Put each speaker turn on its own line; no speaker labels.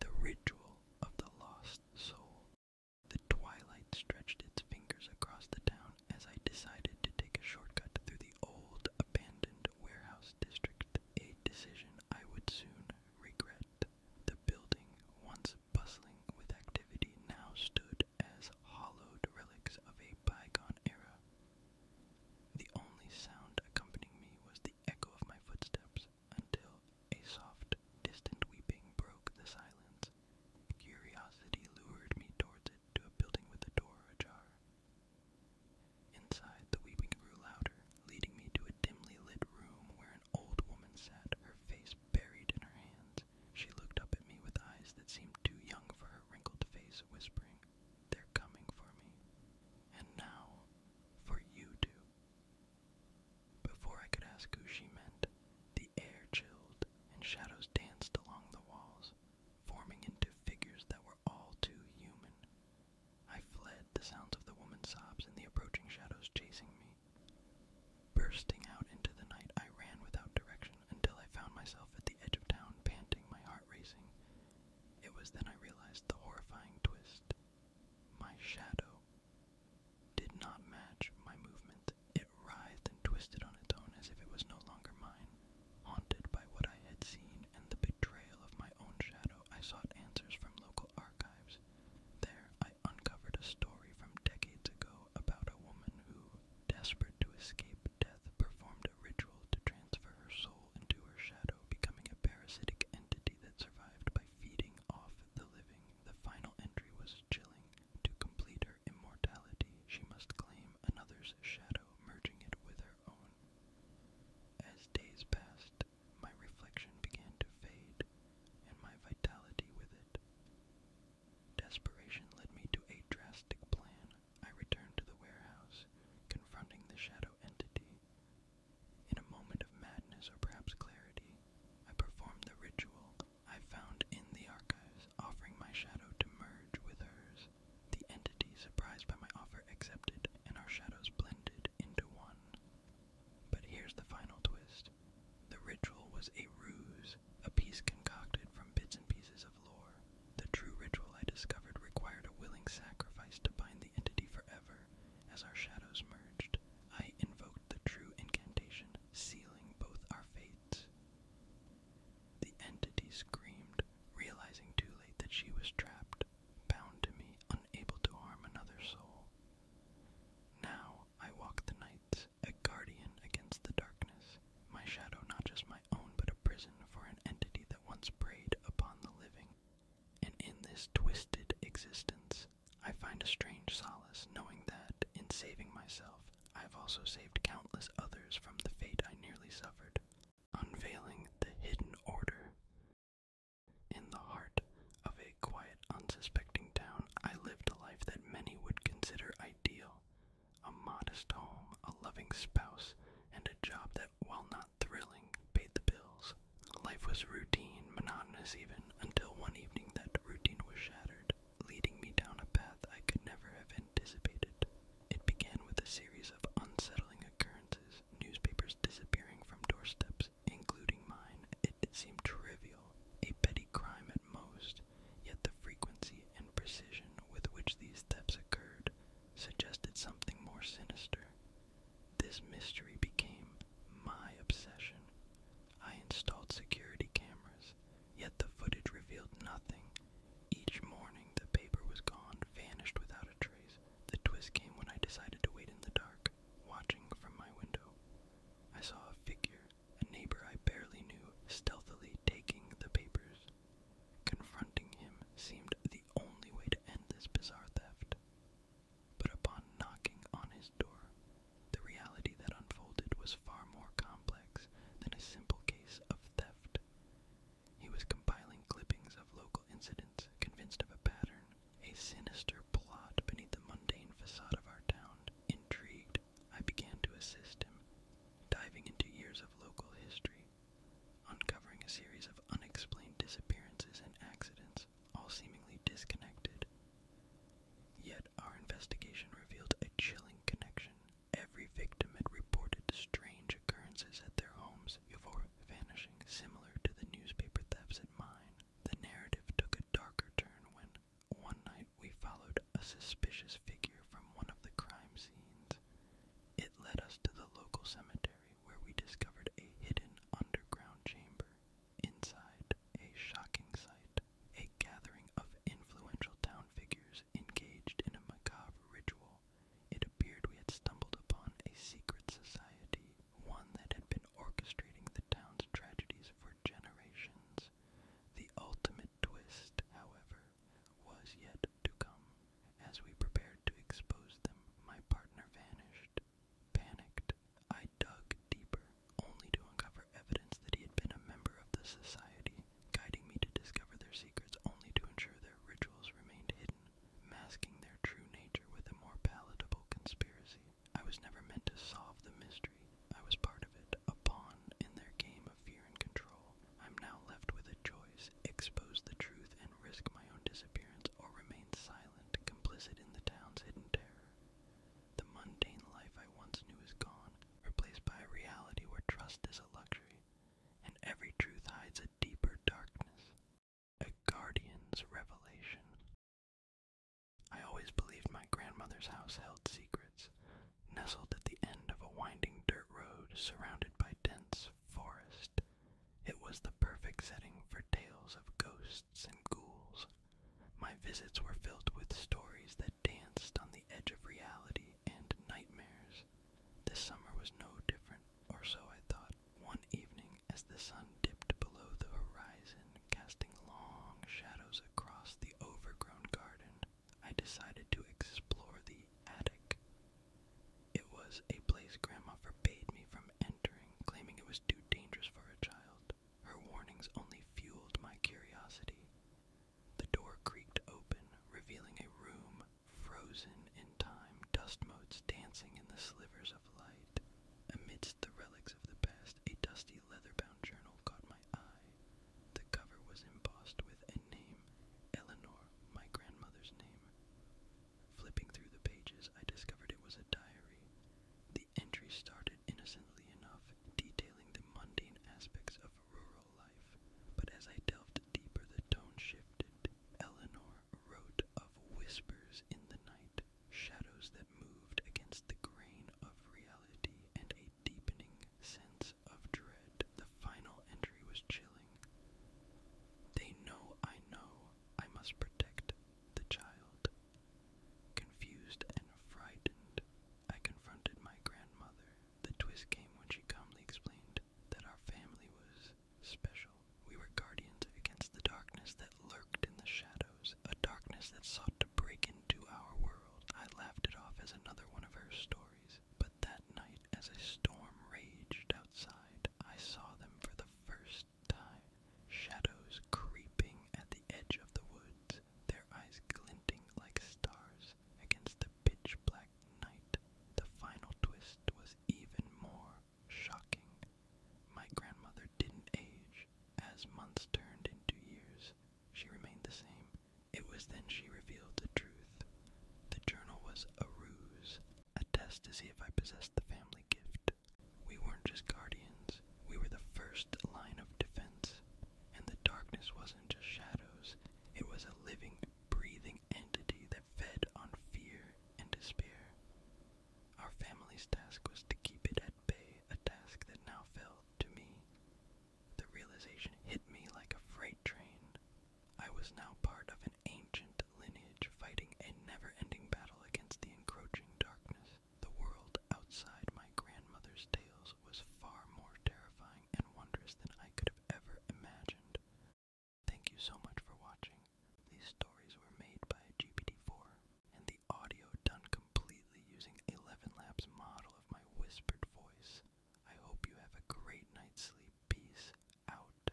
The ritual of the lost soul. The twilight stretched its fingers across the town as I decided to take a shortcut through the old abandoned warehouse district, a decision I would soon regret. The building, once bustling with activity, now stood as hollowed relics of a bygone era. The only sound accompanying me was the echo of my footsteps until a soft, distant weeping broke the silence. Curiosity lured me towards it to a building with a door ajar. Inside, the weeping grew louder, leading me to a dimly lit room where an old woman sat, her face buried in her hands. She looked up at me with eyes that seemed too young for her wrinkled face, whispering, They're coming for me. And now, for you two. Before I could ask who she meant, the air chilled and shadows danced along the walls, forming into figures that were all too human. I fled, the sounds of the woman's sobs and the approaching shadows chasing me. Bursting out into the night, I ran without direction until I found myself at the edge of town, panting, my heart racing. It was then I realized the horrifying twist. My shadow did not match my movement. It writhed and twisted on its own as if it was no longer mine. Haunted by what I had seen and the betrayal of my own shadow, I sought answers from local archives. There, I uncovered a story from decades ago about a woman who, desperate to escape death, performed a ritual to transfer her soul into her shadow, becoming a parasitic entity that survived by feeding off the living, the final entry was chilling. To complete her immortality, she must claim another's shadow, merging it with her own. As days passed, my reflection began to fade, and my vitality with it. Desperation led me to a drastic plan. I returned to the warehouse, confronting the shadow entity, in a moment of madness or perhaps clarity, I performed the ritual I found in the archives, offering my shadow to merge with hers. The entity, surprised by my offer, accepted, and our shadows blended into one. But here's the final twist. The ritual was a ruse, a piece concocted from bits and pieces of lore. The true ritual I discovered required a willing sacrifice to bind the entity forever, as our shadows merged, I invoked the true incantation, sealing both our fates. The entity screamed, realizing too late that she was trapped, bound to me, unable to harm another soul. Now I walk the nights, a guardian against the darkness, my shadow not just my own but a prison for an entity that once preyed upon the living and in this twisted existence, I find a strange solace knowing that, in saving myself, I have also saved countless others from the fate I nearly suffered. Unveiling the hidden order. In the heart of a quiet, unsuspecting town, I lived a life that many would consider ideal. A modest home, a loving spouse, and a job that, will not not thrilling, paid the bills. Life was routine, monotonous even, until one evening that routine was shattered, leading me down a path I could never have anticipated. It began with a series of unsettling occurrences, newspapers disappearing from doorsteps, including mine. it seemed trivial, a petty crime at most, yet the frequency and precision with which these thefts occurred suggested something more sinister. This mystery became my obsession. I installed security cameras, yet the footage revealed nothing. Each morning, the paper was gone, vanished without a trace. The twist came when I decided to wait in the dark, watching from my window. I saw a figure, a neighbor I barely knew, stealthily taking the papers. Confronting him seemed the only way to end this bizarre theft. But upon knocking on his door, the reality that unfolded was far more complex than a simple case of theft. He was compiling clippings of local incidents, convinced of a pattern, a sinister plot beneath the mundane facade of our town. Intrigued, I began to assist him, diving into years of local history, uncovering a series of unexplained disappearances and accidents all seemingly disconnected. Yet our investigation revealed a chilling connection. Every victim had reported strange occurrences at their homes before vanishing, similar to the newspaper thefts at mine. The narrative took a darker turn when one night we followed a suspicious figure from one of the crime scenes. It led us to the local cemetery where we discovered a hidden underground chamber. Inside, a shocking sight, a gathering of influential town figures engaged in a macabre ritual. It appeared we had stumbled upon a secret society, one that had been orchestrating the town's tragedies for generations. The ultimate twist, however, was yet to come. As we prepared to expose them, my partner vanished, Panicked, I dug deeper, only to uncover evidence that he had been a member of the society, guiding me to discover their secrets only to ensure their rituals remained hidden, masking their true nature with a more palatable conspiracy. I was never meant to solve the mystery. I was part of it, a pawn in their game of fear and control. I'm now left with a choice expose the truth and risk my own disappearance, or remain silent complicit in the town's hidden terror. The mundane life I once knew is gone, replaced by a reality where trust is a luxury, and every truth hides a deeper darkness. A guardian's revelation. I always believed my grandmother's house held secrets, nestled at the end of a winding dirt road surrounded by dense forest. It was the perfect setting for tales of ghosts and ghouls. My visits were filled with stories that danced on the edge of reality and nightmares. This summer was no different, or so I thought. One evening, as the sun dipped below the horizon, casting long shadows across the overgrown garden, I decided to explore the attic. It was a place Grandma forbade me from from entering, claiming it was too dangerous for a child. Her warnings only fueled my curiosity. The door creaked open, revealing a room frozen in time, dust motes dancing in the slivers of light. Amidst the relics of the past, a dusty leather-bound journal caught my eye. The cover was embossed with a name, Eleanor, my grandmother's name. Flipping through the pages, I discovered it was a diary. The entry started innocently enough, detailing the mundane aspects of rural life, but as I delved deeper, the tone shifted. Eleanor wrote of whispers in the night, shadows that moved against the grain of reality, and a deepening sense of dread. The final entry was chilling. They know I know I must protect the child. Confused and frightened, I confronted my grandmother. The twist came when she calmly explained that our family was special. We were guardians against the darkness that lurked in the shadows, a darkness that sought to break into our world. I laughed it off as another one of her stories, but that night, as a storm raged outside, I saw them for the first time, shadows creeping at the edge of the woods, their eyes glinting like stars against the pitch black night. The final twist was even more shocking. My grandmother didn't age. As months turned into years, she remained the same. It was then she revealed the truth. The journal was a ruse, a test to see if I possessed the family gift. We weren't just guardians, we were the first line of defense. And the darkness wasn't just shadows, it was a living, breathing entity that fed on fear and despair. Our family's task was to keep it at bay, a task that now fell to me. The realization hit me like a freight train. I was now part of ancient lineage fighting a never ending battle against the encroaching darkness. The world outside my grandmother's tales was far more terrifying and wondrous than I could have ever imagined. Thank you so much for watching. These stories were made by GPT-4, and the audio done completely using Eleven Labs model of my whispered voice. I hope you have a great night's sleep. Peace out.